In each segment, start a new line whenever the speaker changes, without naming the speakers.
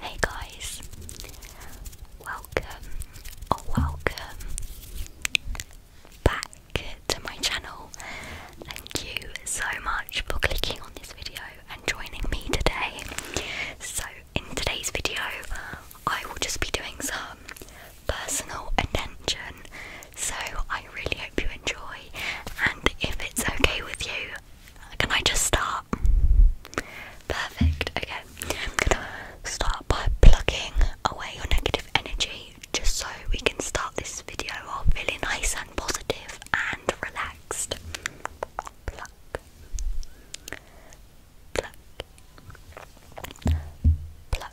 Hey guys, welcome or oh, welcome back to my channel. Thank you so much for clicking on this video and joining me today. So, in today's video, I will just be doing some personal attention. So I really hope you enjoy, and if it's okay with you, can I just start? Perfect. Okay, I'm gonna start by plucking away your negative energy, just so we can start this video off really nice and positive and relaxed. Pluck. Pluck. Pluck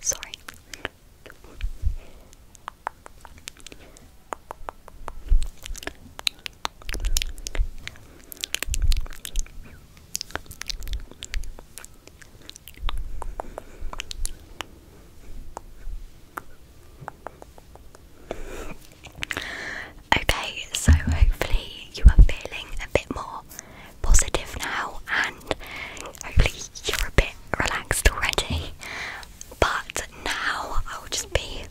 Sorry. Okay, so hopefully you are feeling a bit more positive now, and hopefully you're a bit relaxed already. But now I'll just be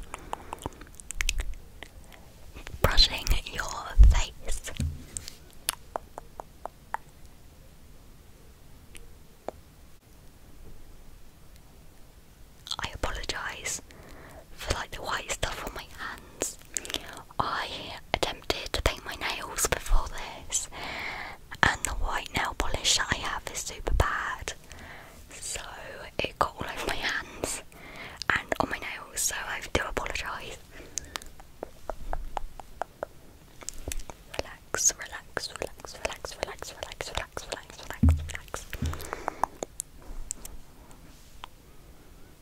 brushing your face. I apologise for like the white stuff on my hands. I attempted to paint my nails before this, and the white nail polish that I have is super bad, so it got all over my hands and on my nails, so I do apologise. Relax, relax, relax, relax, relax, relax, relax, relax, relax, relax.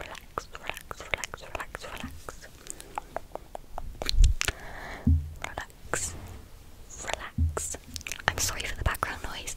Relax, relax, relax, relax, relax. Relax. Relax. I'm sorry for the background noise.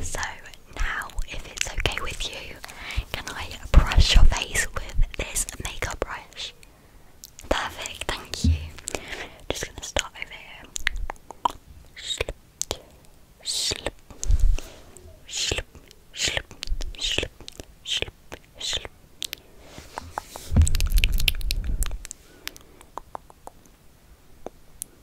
so now, if it's okay with you, can I brush your face with this makeup brush? Perfect, thank you. Just gonna start over here.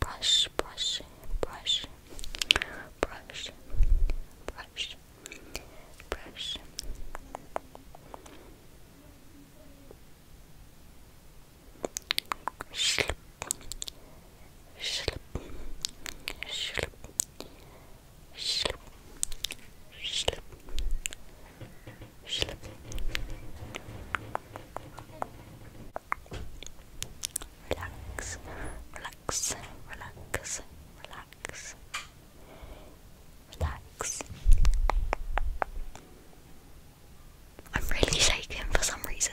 Brush, brush, brush, brush, brush, brush. Slip, slip, slip, Relax, relax, relax, relax, relax. I'm really shaken for some reason.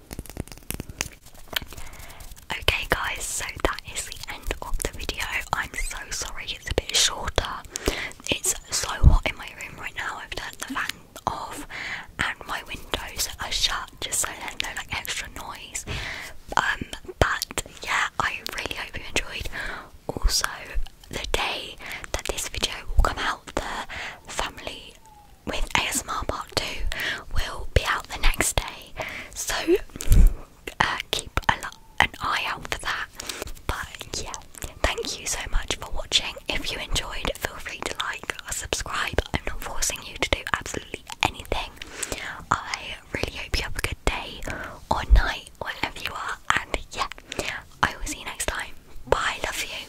Okay, guys, so that is the end of the video. I'm so sorry it's a bit shorter. It's so hot in my room right now. I've turned the fan off and my windows are shut just so there's no like extra noise. Um, but yeah, I really hope you enjoyed. Also, the day that this video will come out, the family with ASMR part 2 will be out the next day, so uh, keep an eye out for that. But yeah, thank you so much for watching. If you enjoyed, feel free to like or subscribe. I'm not forcing you to do absolutely anything. I really hope you have a good day or night, wherever you are, and yeah, I will see you next time. Bye, love you.